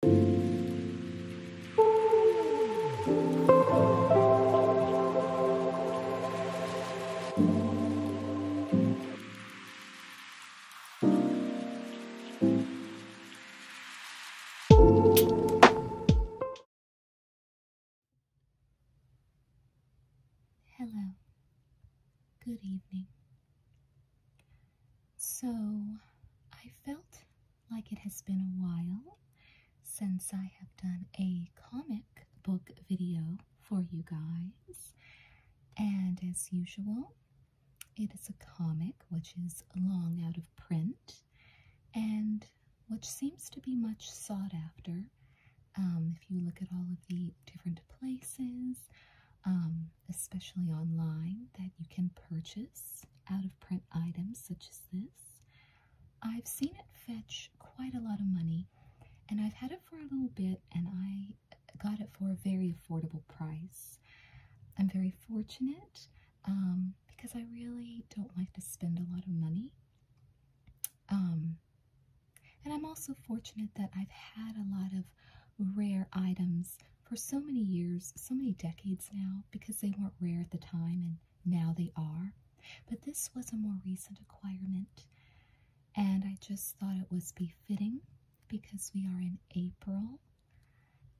Hello. Good evening. So I felt like it has been a while since I have done a comic book video for you guys. And as usual, it is a comic which is long out of print and which seems to be much sought after. Um, if you look at all of the different places, um, especially online, that you can purchase out of print items such as this. I've seen it fetch quite a lot of money, and I've had it for a little bit, and I got it for a very affordable price. I'm very fortunate um, because I really don't like to spend a lot of money. Um, and I'm also fortunate that I've had a lot of rare items for so many years, so many decades now, because they weren't rare at the time and now they are. But this was a more recent acquirement, and I just thought it was befitting because we are in April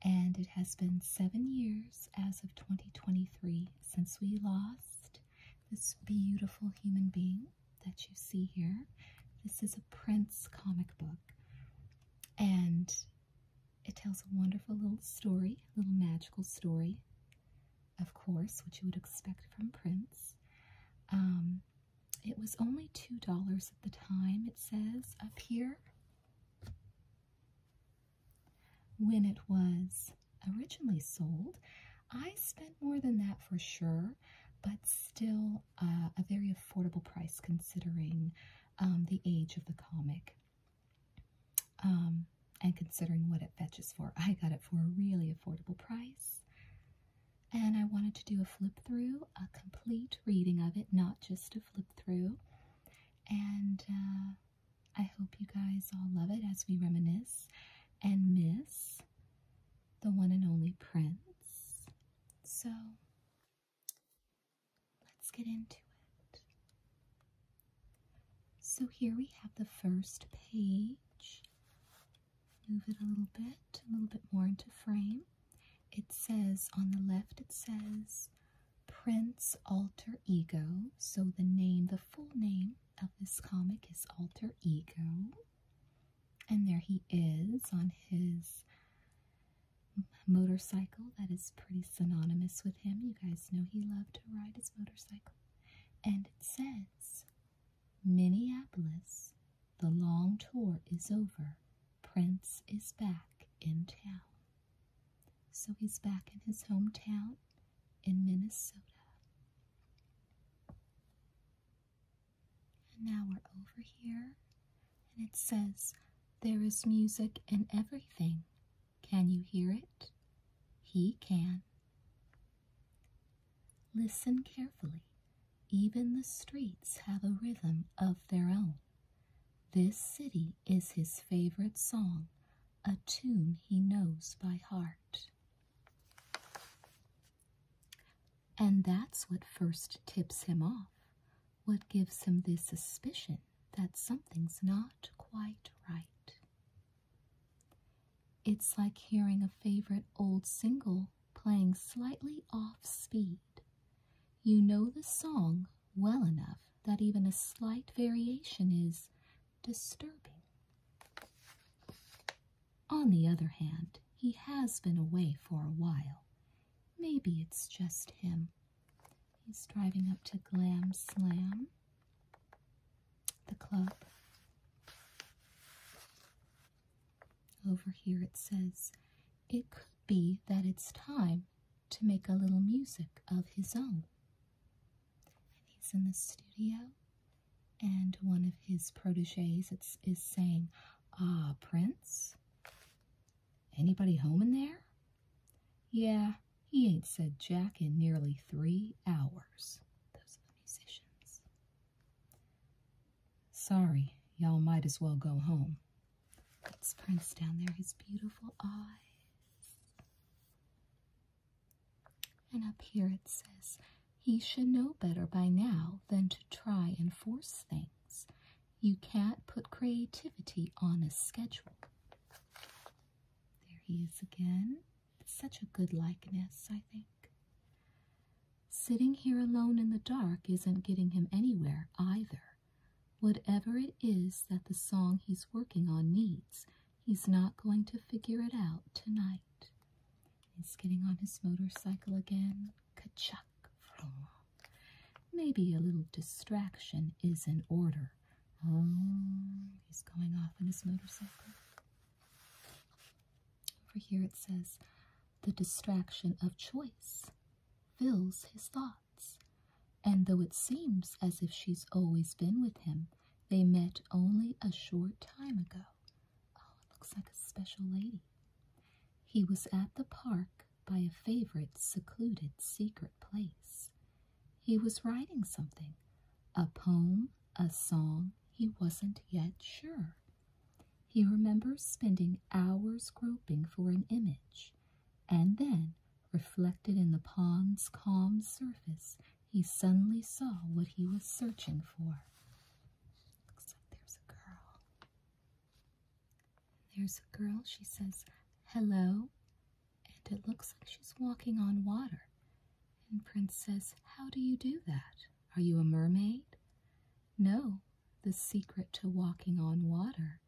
and it has been seven years as of 2023 since we lost this beautiful human being that you see here. This is a Prince comic book, and it tells a wonderful little story, a little magical story, of course, which you would expect from Prince. Um, it was only $2 at the time, it says up here, when it was originally sold. I spent more than that for sure, but still uh, a very affordable price considering um, the age of the comic um, and considering what it fetches for. I got it for a really affordable price. And I wanted to do a flip through, a complete reading of it, not just a flip through. And uh, I hope you guys all love it as we reminisce and miss the one and only Prince. So Let's get into it. So here we have the first page. Move it a little bit, a little bit more into frame. It says on the left, it says Prince Alter Ego. So the name, the full name of this comic is Alter Ego. And there he is on his motorcycle that is pretty synonymous with him. You guys know he loved to ride his motorcycle. And it says, Minneapolis, the long tour is over. Prince is back in town. So he's back in his hometown in Minnesota. now we're over here and it says, There is music in everything. Can you hear it? He can. Listen carefully. Even the streets have a rhythm of their own. This city is his favorite song, a tune he knows by heart. And that's what first tips him off what gives him this suspicion that something's not quite right. It's like hearing a favorite old single playing slightly off speed. You know the song well enough that even a slight variation is disturbing. On the other hand, he has been away for a while. Maybe it's just him. He's driving up to Glam Slam, the club. Over here it says, It could be that it's time to make a little music of his own. And he's in the studio, and one of his proteges is, is saying, Ah, Prince, Anybody home in there? Yeah, he ain't said Jack in nearly three hours. Those are the musicians. Sorry, y'all might as well go home. It's Prince down there, his beautiful eyes. And up here it says, he should know better by now than to try and force things you can't put creativity on a schedule. There he is again. such a good likeness, I think. Sitting here alone in the dark isn't getting him anywhere either. Whatever it is that the song he's working on needs, he's not going to figure it out tonight. He's getting on his motorcycle again. ka Maybe a little distraction is in order. Oh, he's going off on his motorcycle. Over here it says, the distraction of choice fills his thoughts, and though it seems as if she's always been with him, they met only a short time ago. Oh, it looks like a special lady. He was at the park by a favorite secluded secret place. He was writing something, a poem, a song, he wasn't yet sure. He remembers spending hours groping for an image, and then, reflected in the pond's calm surface, he suddenly saw what he was searching for. Looks like there's a girl. There's a girl, she says, hello, and it looks like she's walking on water. And Prince says, How do you do that? Are you a mermaid? No, the secret to walking on water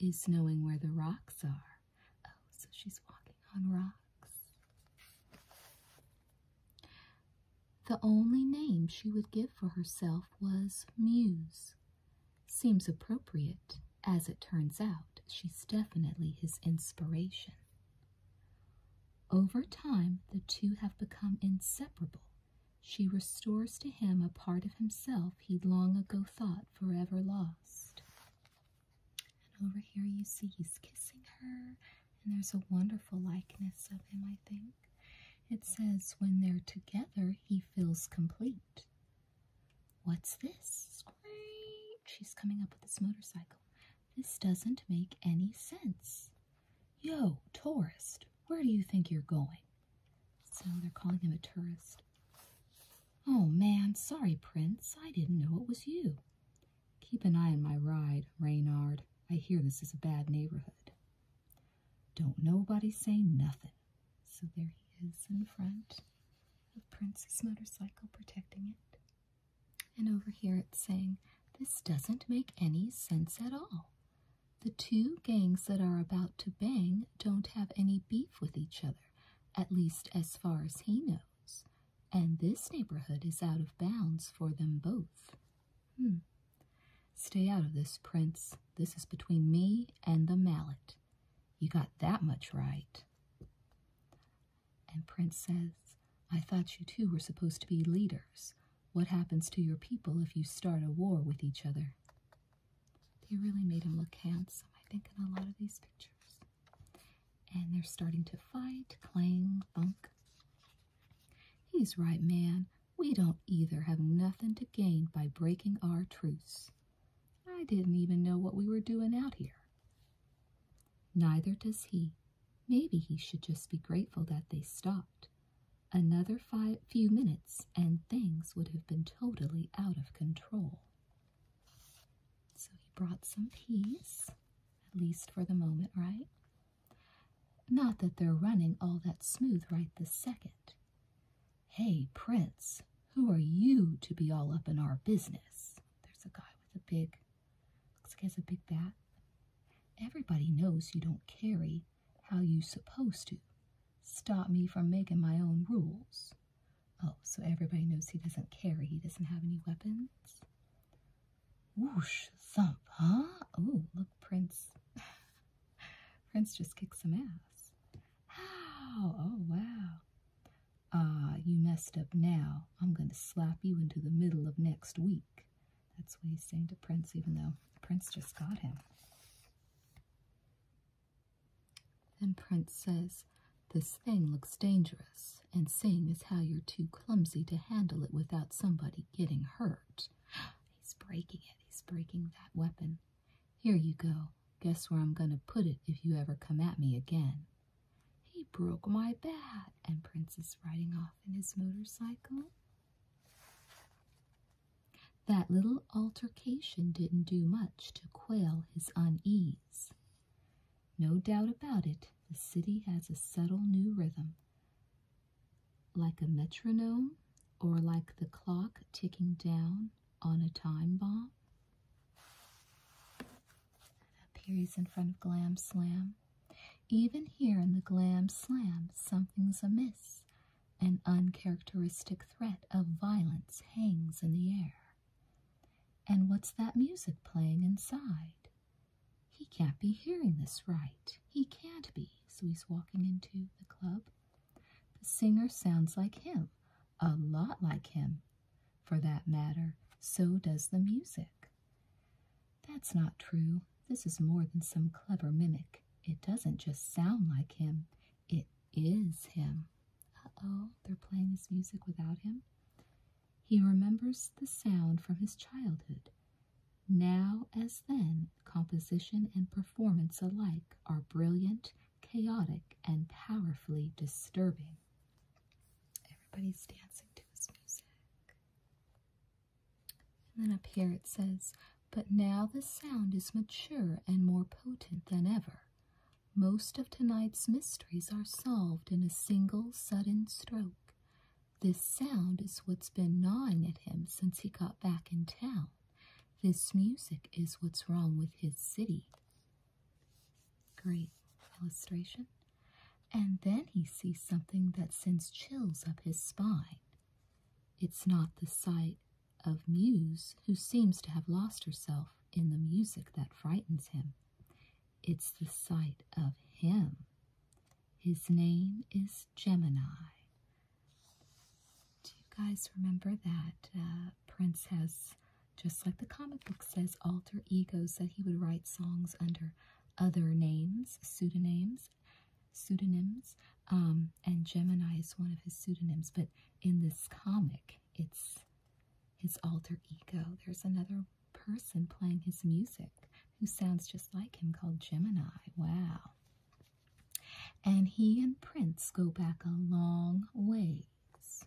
is knowing where the rocks are. Oh, so she's walking on rocks. The only name she would give for herself was Muse, Seems appropriate. As it turns out, she's definitely his inspiration. Over time, the two have become inseparable. She restores to him a part of himself he'd long ago thought forever lost. And over here, you see he's kissing her, and there's a wonderful likeness of him, I think. It says, when they're together, he feels complete. What's this? Screech! She's coming up with this motorcycle. This doesn't make any sense. Yo, tourist, where do you think you're going? So they're calling him a tourist. Oh man, sorry, Prince. I didn't know it was you. Keep an eye on my ride, Reynard. I hear this is a bad neighborhood. Don't nobody say nothing. So there he is in front of Prince's motorcycle protecting it. And over here it's saying, This doesn't make any sense at all. The two gangs that are about to bang don't have any beef with each other, at least as far as he knows. And this neighborhood is out of bounds for them both. Hmm. Stay out of this, Prince. This is between me and the mallet. You got that much right. And Prince says, I thought you two were supposed to be leaders. What happens to your people if you start a war with each other? They really made him look handsome, I think, in a lot of these pictures. And they're starting to fight, clang, thunk. He's right, man. We don't either have nothing to gain by breaking our truce. I didn't even know what we were doing out here. Neither does he. Maybe he should just be grateful that they stopped. Another five, few minutes, and things would have been totally out of control. So he brought some peace, at least for the moment, right? Not that they're running all that smooth right this second. Hey, Prince, who are you to be all up in our business? There's a guy with a big, looks like he has a big bat. Everybody knows you don't carry how you supposed to. Stop me from making my own rules. Oh, so everybody knows he doesn't carry, he doesn't have any weapons. Whoosh, thump, huh? Oh, look, Prince. Prince just kicked some ass. Oh, Oh, wow. Ah, you messed up now. I'm going to slap you into the middle of next week. That's what he's saying to Prince, even though Prince just got him. Then Prince says, This thing looks dangerous, and seeing as how you're too clumsy to handle it without somebody getting hurt. He's breaking it. He's breaking that weapon. Here you go. Guess where I'm going to put it if you ever come at me again. He broke my bat, and Prince is riding off in his motorcycle. That little altercation didn't do much to quell his unease. No doubt about it, the city has a subtle new rhythm. Like a metronome, or like the clock ticking down on a time bomb. Appears in front of Glam Slam. Even here in the Glam Slam, something's amiss. An uncharacteristic threat of violence hangs in the air. And what's that music playing inside? He can't be hearing this right. He can't be, so he's walking into the club. The singer sounds like him, a lot like him. For that matter, so does the music. That's not true. This is more than some clever mimic. It doesn't just sound like him, it is him. Uh oh, they're playing his music without him. He remembers the sound from his childhood. Now as then, composition and performance alike are brilliant chaotic and powerfully disturbing. Everybody's dancing to his music. then up here it says, But now the sound is mature and more potent than ever. Most of tonight's mysteries are solved in a single sudden stroke. This sound is what's been gnawing at him since he got back in town. This music is what's wrong with his city. Great illustration. And then he sees something that sends chills up his spine. It's not the sight of Muse, who seems to have lost herself in the music that frightens him. It's the sight of him. His name is Gemini, do you guys remember that uh, Princess? just like the comic book says, alter egos that he would write songs under other names, pseudonyms, pseudonyms, um, and Gemini is one of his pseudonyms. But in this comic, it's his alter ego. There's another person playing his music who sounds just like him called Gemini. Wow. And he and Prince go back a long ways.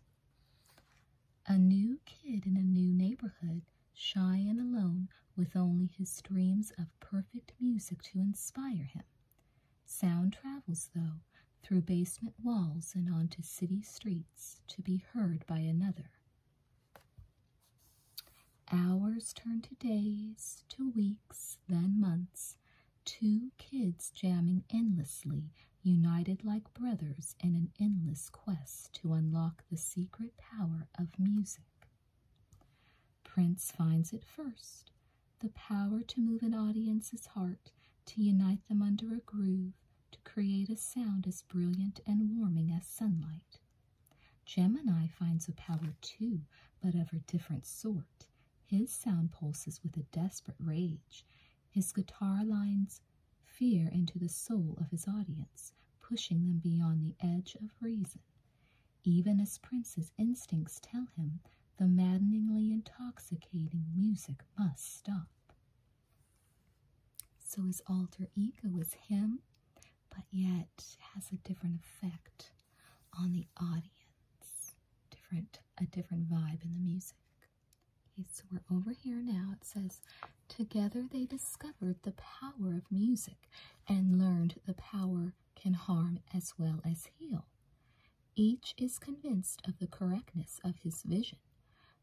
A new kid in a new neighborhood, shy and alone, with only his dreams of perfect music to inspire him. Sound travels, though, through basement walls and onto city streets to be heard by another. Hours turn to days, to weeks, then months, Two kids jamming endlessly, united like brothers in an endless quest to unlock the secret power of music. Prince finds it first the power to move an audience's heart, to unite them under a groove, to create a sound as brilliant and warming as sunlight. Gemini finds a power too, but of a different sort his sound pulses with a desperate rage, his guitar lines fear into the soul of his audience, pushing them beyond the edge of reason. Even as Prince's instincts tell him the maddeningly intoxicating music must stop. So his alter ego is him, but yet has a different effect on the audience different a different vibe in the music. Okay, so we're over here now. It says, Together they discovered the power of music and learned the power can harm as well as heal. Each is convinced of the correctness of his vision.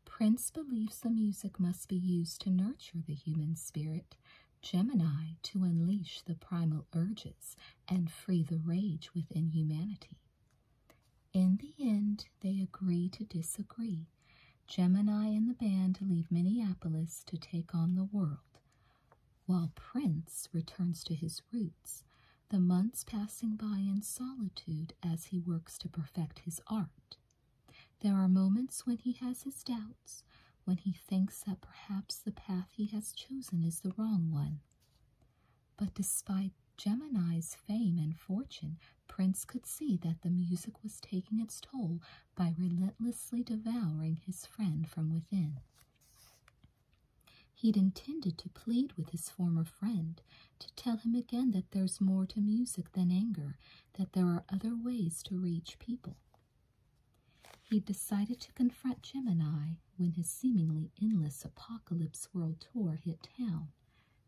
Prince believes the music must be used to nurture the human spirit, Gemini to unleash the primal urges and free the rage within humanity. In the end, they agree to disagree. Gemini and the band leave Minneapolis to take on the world, while Prince returns to his roots, the months passing by in solitude as he works to perfect his art. There are moments when he has his doubts, when he thinks that perhaps the path he has chosen is the wrong one. But despite Gemini's fame and fortune, Prince could see that the music was taking its toll by relentlessly devouring his friend from within. He'd intended to plead with his former friend, to tell him again that there's more to music than anger, that there are other ways to reach people. He decided to confront Gemini when his seemingly endless apocalypse world tour hit town.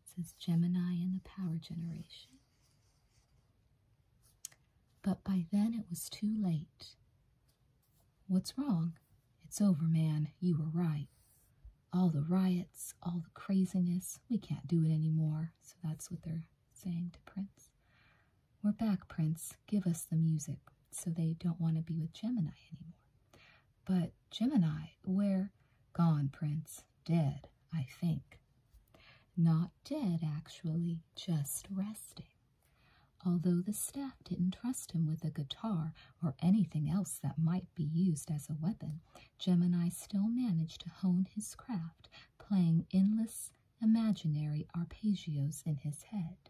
says Gemini in the Power Generation. But by then it was too late. What's wrong? It's over, man. You were right. All the riots, all the craziness, we can't do it anymore. So that's what they're saying to Prince. We're back, Prince. Give us the music. So they don't want to be with Gemini anymore. But Gemini, where? Gone, Prince. Dead, I think. Not dead, actually, just resting. Although the staff didn't trust him with a guitar or anything else that might be used as a weapon, Gemini still managed to hone his craft, playing endless, imaginary arpeggios in his head.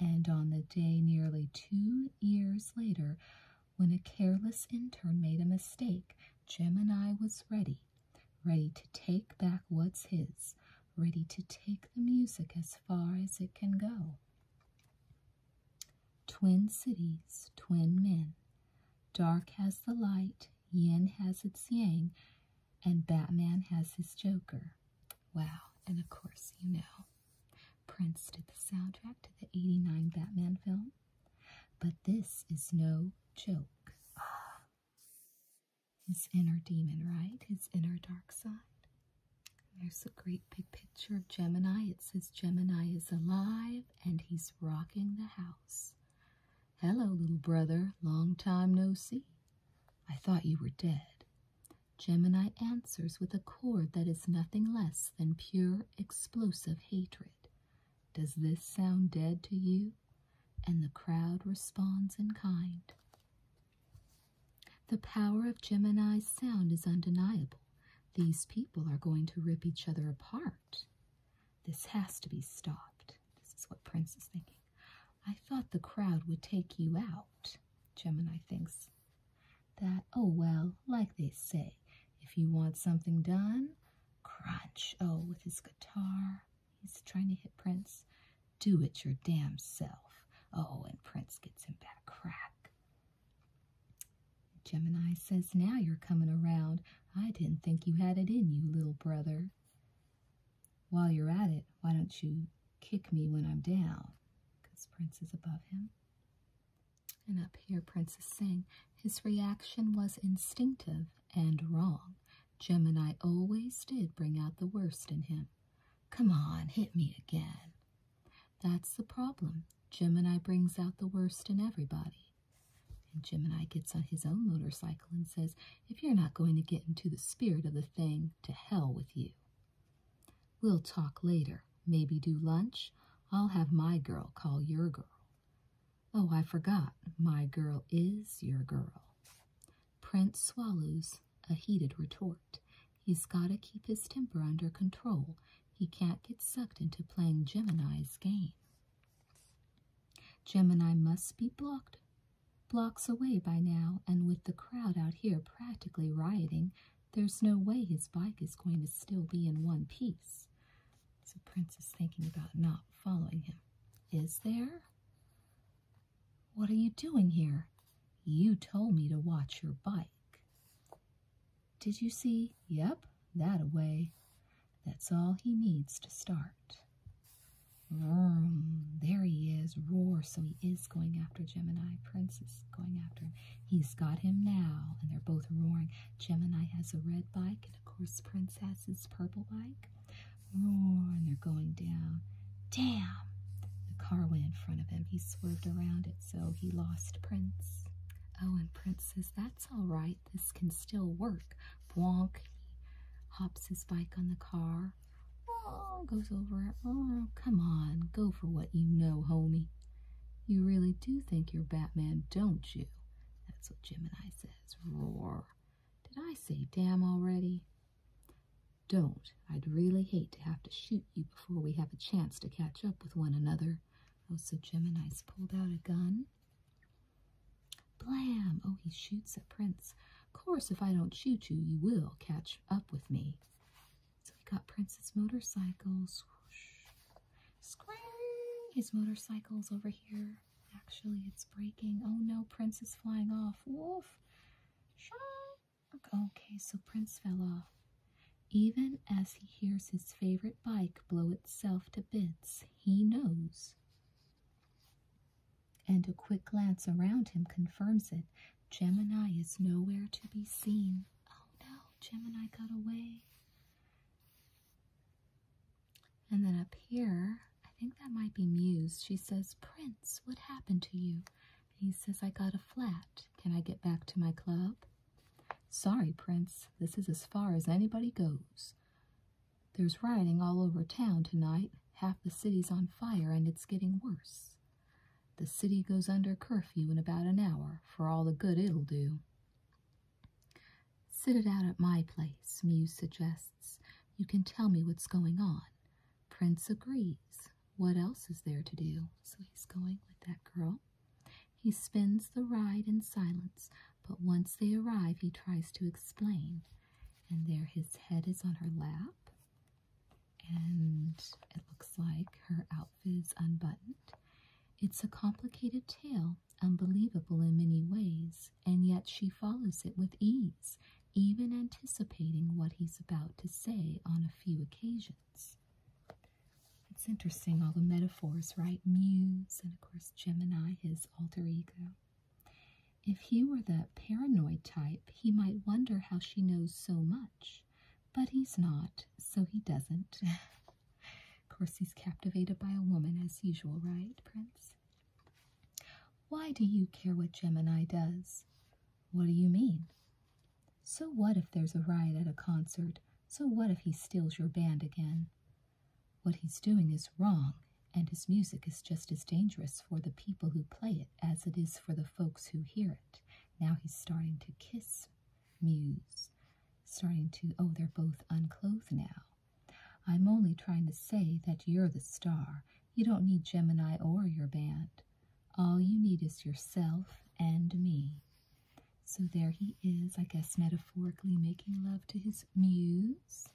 And on the day nearly two years later, when a careless intern made a mistake, Gemini was ready, ready to take back what's his, ready to take the music as far as it can go. Twin cities, twin men. Dark has the light, yin has its yang, and Batman has his Joker. Wow, and of course, you know. Prince did the soundtrack to the 89 Batman film, but this is no joke. his inner demon, right? His inner dark side. There's a great big picture of Gemini. It says Gemini is alive and he's rocking the house. Hello, little brother. Long time no see. I thought you were dead. Gemini answers with a chord that is nothing less than pure, explosive hatred. Does this sound dead to you? And the crowd responds in kind. The power of Gemini's sound is undeniable. These people are going to rip each other apart. This has to be stopped. This is what Prince is thinking. I thought the crowd would take you out, Gemini thinks that, oh well, like they say, if you want something done, crunch. Oh, with his guitar, he's trying to hit Prince. Do it your damn self. Oh, and Prince gets him back crack. Gemini says, Now you're coming around. I didn't think you had it in you, little brother. While you're at it, why don't you kick me when I'm down? Because Prince is above him. And up here, Princess Singh, his reaction was instinctive and wrong. Gemini always did bring out the worst in him. Come on, hit me again. That's the problem. Gemini brings out the worst in everybody. And Gemini gets on his own motorcycle and says, If you're not going to get into the spirit of the thing, to hell with you. We'll talk later. Maybe do lunch. I'll have my girl call your girl. Oh, I forgot. My girl is your girl. Prince swallows a heated retort. He's got to keep his temper under control. He can't get sucked into playing Gemini's game. Gemini must be blocked blocks away by now, and with the crowd out here practically rioting, there's no way his bike is going to still be in one piece. So Prince is thinking about not following him. Is there? What are you doing here? You told me to watch your bike. Did you see? Yep, that away. That's all he needs to start. there he is, roar. So he is going after Gemini. Prince is going after him. He's got him now, and they're both roaring. Gemini has a red bike, and of course, Princess's purple bike. Roar, and they're going down. Damn! The car went in front of him. He swerved around it, so he lost Prince. Oh, and Prince says, That's all right. This can still work. Bwonk. He hops his bike on the car. Oh, goes over it come on, go for what you know, homie. You really do think you're Batman, don't you? That's what Gemini says. Roar. Did I say damn already? Don't. I'd really hate to have to shoot you before we have a chance to catch up with one another. Oh, so Gemini's pulled out a gun. Blam! Oh, he shoots at Prince. Of course, if I don't shoot you, you will catch up with me. So we got Prince's motorcycle. Swoosh. Square. His motorcycle's over here. Actually, it's breaking. Oh no, Prince is flying off. Woof. Okay, so Prince fell off. Even as he hears his favorite bike blow itself to bits, he knows. And a quick glance around him confirms it. Gemini is nowhere to be seen. Oh no, Gemini got away. And then up here, I think that might be Muse. She says, Prince, what happened to you? he says, I got a flat. Can I get back to my club? Sorry, Prince, this is as far as anybody goes. There's rioting all over town tonight. Half the city's on fire and it's getting worse. The city goes under curfew in about an hour for all the good it'll do. Sit it out at my place, Muse suggests. You can tell me what's going on. Prince agrees. What else is there to do? So he's going with that girl. He spends the ride in silence, but once they arrive, he tries to explain. And there his head is on her lap, and it looks like her outfit's unbuttoned. It's a complicated tale, unbelievable in many ways, and yet she follows it with ease, even anticipating what he's about to say on a few occasions. It's interesting, all the metaphors, right? Muse, and of course, Gemini, his alter ego. If he were the paranoid type, he might wonder how she knows so much but he's not, so he doesn't. of course, he's captivated by a woman as usual, right, Prince? Why do you care what Gemini does? What do you mean? So what if there's a riot at a concert? So what if he steals your band again? What he's doing is wrong, and his music is just as dangerous for the people who play it as it is for the folks who hear it. Now he's starting to kiss Muse. Starting to, oh, they're both unclothed now. I'm only trying to say that you're the star. You don't need Gemini or your band. All you need is yourself and me. So there he is, I guess metaphorically making love to his muse.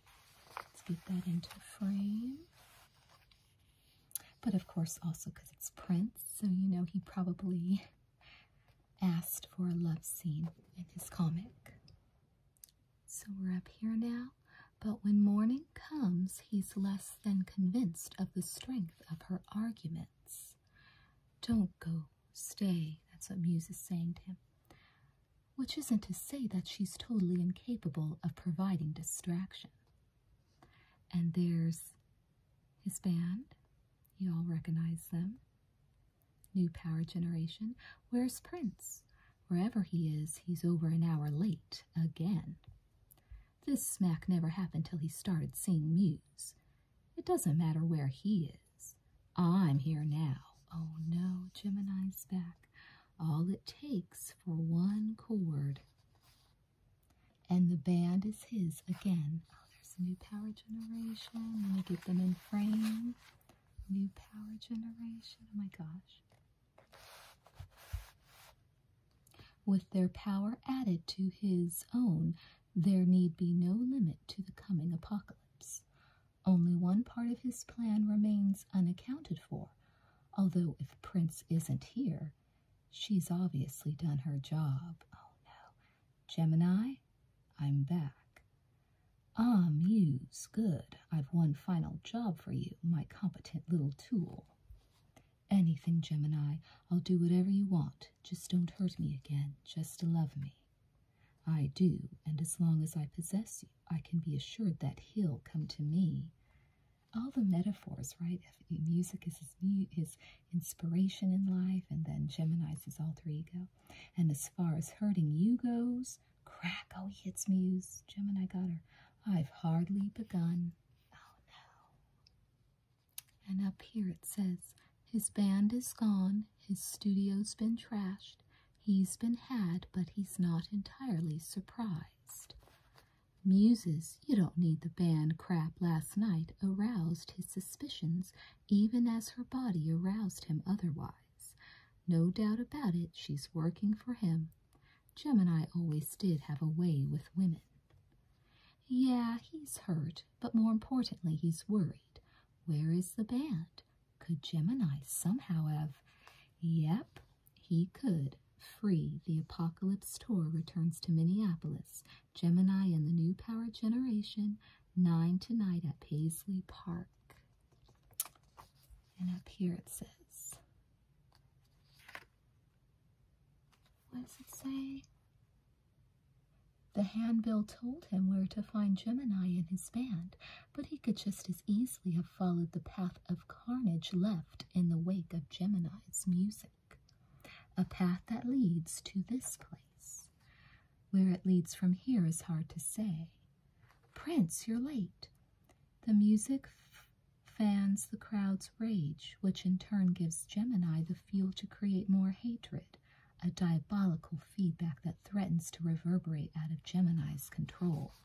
Let's get that into frame. But of course, also because it's Prince, so you know he probably asked for a love scene in his comic. So we're up here now, but when morning comes, he's less than convinced of the strength of her arguments. Don't go, stay, that's what Muse is saying to him. Which isn't to say that she's totally incapable of providing distraction. And there's his band. You all recognize them. New Power Generation. Where's Prince? Wherever he is, he's over an hour late again. This smack never happened till he started seeing Muse. It doesn't matter where he is. I'm here now. Oh no, Gemini's back. All it takes for one chord and the band is his again. Oh, there's a new power generation. Let me get them in frame. New power generation. Oh my gosh. With their power added to his own, there need be no limit to the coming apocalypse. Only one part of his plan remains unaccounted for, although if Prince isn't here, She's obviously done her job. Oh no. Gemini, I'm back. Ah, Muse, good. I've one final job for you, my competent little tool. Anything, Gemini. I'll do whatever you want. Just don't hurt me again. Just love me. I do, and as long as I possess you, I can be assured that he'll come to me all the metaphors, right? Music is his, mu his inspiration in life, and then Gemini's his alter ego. And as far as hurting you goes, crack, oh, he hits Muse. Gemini got her. I've hardly begun. Oh, no. And up here it says, his band is gone, his studio's been trashed, he's been had, but he's not entirely surprised. Muses, you don't need the band crap last night, aroused his suspicions even as her body aroused him otherwise. No doubt about it, she's working for him. Gemini always did have a way with women. Yeah, he's hurt, but more importantly, he's worried. Where is the band? Could Gemini somehow have... Yep, he could. Free, the Apocalypse tour returns to Minneapolis, Gemini and the New Power Generation, 9 tonight at Paisley Park. And up here it says, what does it say? The handbill told him where to find Gemini and his band, but he could just as easily have followed the path of carnage left in the wake of Gemini's music a path that leads to this place. Where it leads from here is hard to say. Prince, you're late. The music fans the crowd's rage, which in turn gives Gemini the fuel to create more hatred, a diabolical feedback that threatens to reverberate out of Gemini's control.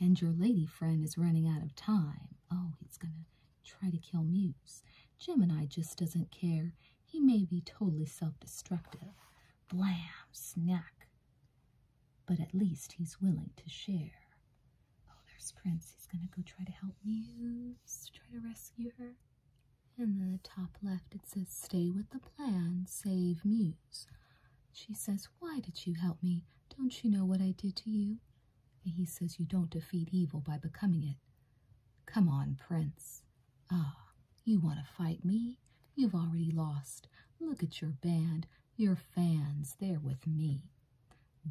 And your lady friend is running out of time. Oh, he's gonna try to kill Muse. Gemini just doesn't care. He may be totally self destructive. Blam, snack. But at least he's willing to share. Oh, there's Prince. He's gonna go try to help Muse, try to rescue her. And In the top left, it says, Stay with the plan, save Muse. She says, Why did you help me? Don't you know what I did to you? And he says you don't defeat evil by becoming it. Come on, Prince. Ah, you want to fight me? You've already lost. Look at your band, your fans, they're with me.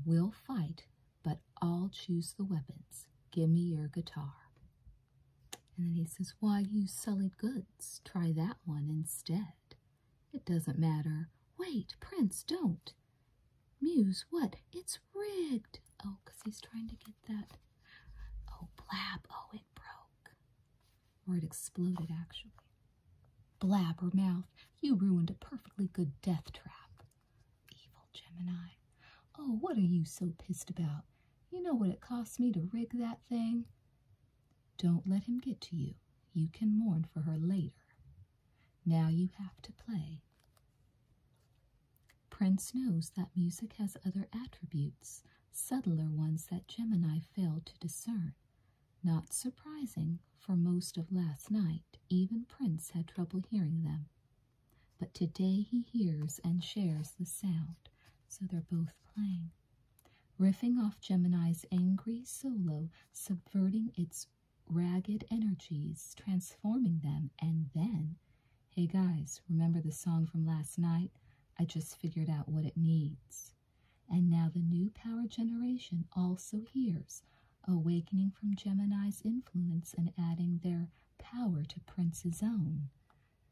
We'll fight, but I'll choose the weapons. Give me your guitar. And then he says, Why you sullied goods? Try that one instead. It doesn't matter. Wait, Prince, don't. Muse, what? It's rigged. Oh, because he's trying to get that. Oh, blab. Oh, it broke. Or it exploded, actually. Blab her mouth. you ruined a perfectly good death trap. Evil Gemini. Oh, what are you so pissed about? You know what it costs me to rig that thing? Don't let him get to you. You can mourn for her later. Now you have to play. Prince knows that music has other attributes, subtler ones that Gemini failed to discern. Not surprising, for most of last night, even Prince had trouble hearing them. But today he hears and shares the sound, so they're both playing. Riffing off Gemini's angry solo, subverting its ragged energies, transforming them, and then, hey guys, remember the song from last night? I just figured out what it needs. And now the new power generation also hears, awakening from Gemini's influence and adding their power to Prince's own.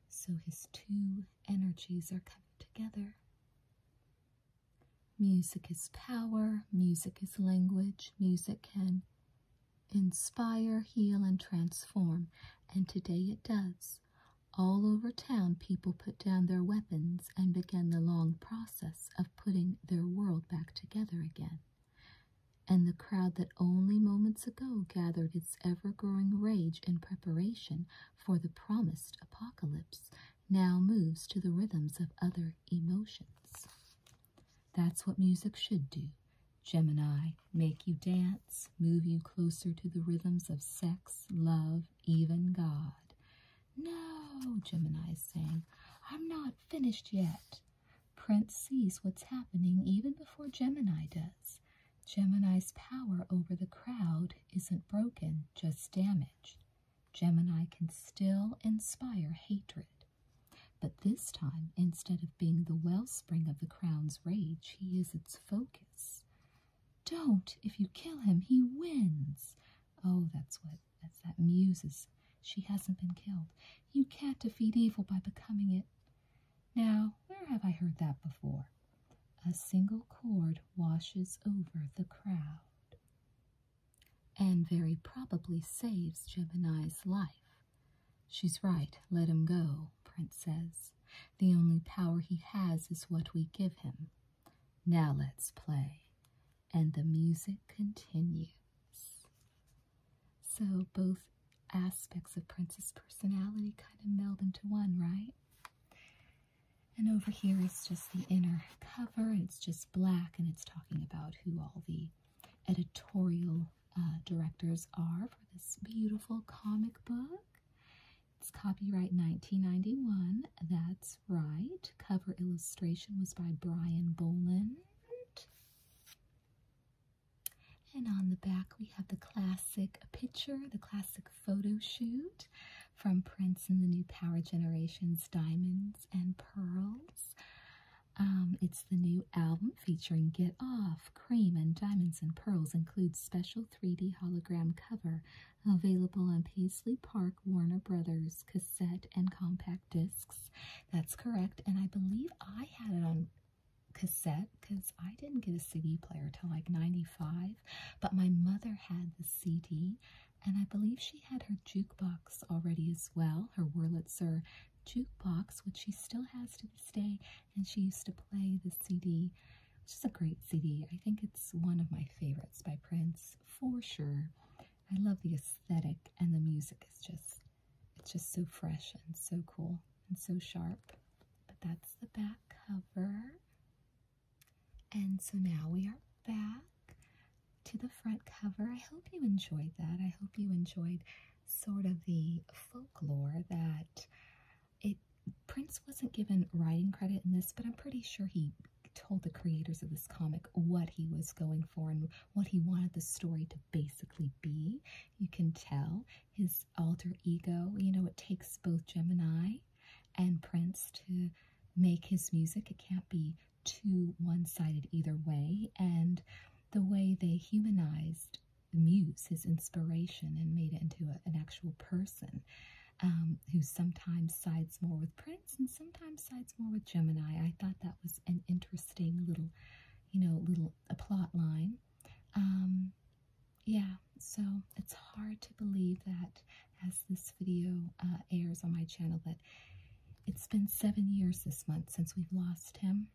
So his two energies are coming together. Music is power, music is language, music can Inspire, heal, and transform. And today it does. All over town, people put down their weapons and begin the long process of putting their world back together again. And the crowd that only moments ago gathered its ever growing rage in preparation for the promised apocalypse now moves to the rhythms of other emotions. That's what music should do. Gemini, make you dance, move you closer to the rhythms of sex, love, even God. No, Gemini is saying, I'm not finished yet. Prince sees what's happening even before Gemini does. Gemini's power over the crowd isn't broken, just damaged. Gemini can still inspire hatred. But this time, instead of being the wellspring of the crowd's rage, he is its focus. Don't! If you kill him, he wins! Oh, that's what that's that muses. She hasn't been killed. You can't defeat evil by becoming it. Now, where have I heard that before? A single chord washes over the crowd and very probably saves Gemini's life. She's right, let him go, Prince says. The only power he has is what we give him. Now let's play. And the music continues. So both aspects of Prince's personality kind of meld into one, right? And over here is just the inner cover, and it's just black, and it's talking about who all the editorial uh, directors are for this beautiful comic book. It's copyright 1991. That's right. Cover illustration was by Brian Boland. And on the back, we have the classic picture, the classic photo shoot from Prince and the New Power Generation's Diamonds and Pearls. Um, it's the new album featuring Get Off, Cream, and Diamonds and Pearls. Includes special 3D hologram cover available on Paisley Park Warner Brothers cassette and compact discs. That's correct, and I believe I had it on cassette because I didn't get a CD player till like 95, but my mother had the CD, and I believe she had her jukebox already as well well, her Wurlitzer jukebox, which she still has to this day, and she used to play the CD, which is a great CD. I think it's one of my favorites by Prince, for sure. I love the aesthetic, and the music is just, it's just so fresh and so cool and so sharp. But that's the back cover. And so now we are back to the front cover. I hope you enjoyed that. I hope you enjoyed sort of the folklore that it Prince wasn't given writing credit in this, but I'm pretty sure he told the creators of this comic what he was going for and what he wanted the story to basically be. You can tell his alter ego, you know, it takes both Gemini and Prince to make his music. It can't be too one-sided either way and the way they humanized the muse his inspiration and made it into an actual person um, who sometimes sides more with prince and sometimes sides more with gemini i thought that was an interesting little you know little a plot line um, yeah so it's hard to believe that as this video uh, airs on my channel that it's been seven years this month since we've lost him.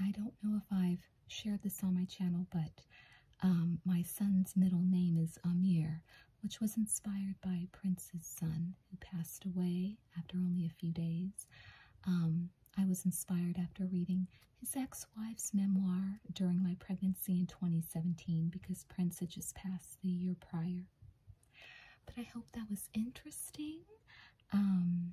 I don't know if I've shared this on my channel, but um, my son's middle name is Amir, which was inspired by Prince's son, who passed away after only a few days. Um, I was inspired after reading his ex-wife's memoir during my pregnancy in 2017 because Prince had just passed the year prior. But I hope that was interesting. Um,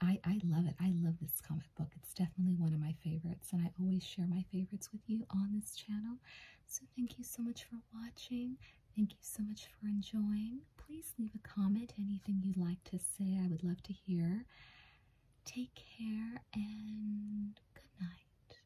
I, I love it. I love this comic book. It's definitely one of my favorites, and I always share my favorites with you on this channel. So thank you so much for watching. Thank you so much for enjoying. Please leave a comment, anything you'd like to say. I would love to hear. Take care and good night.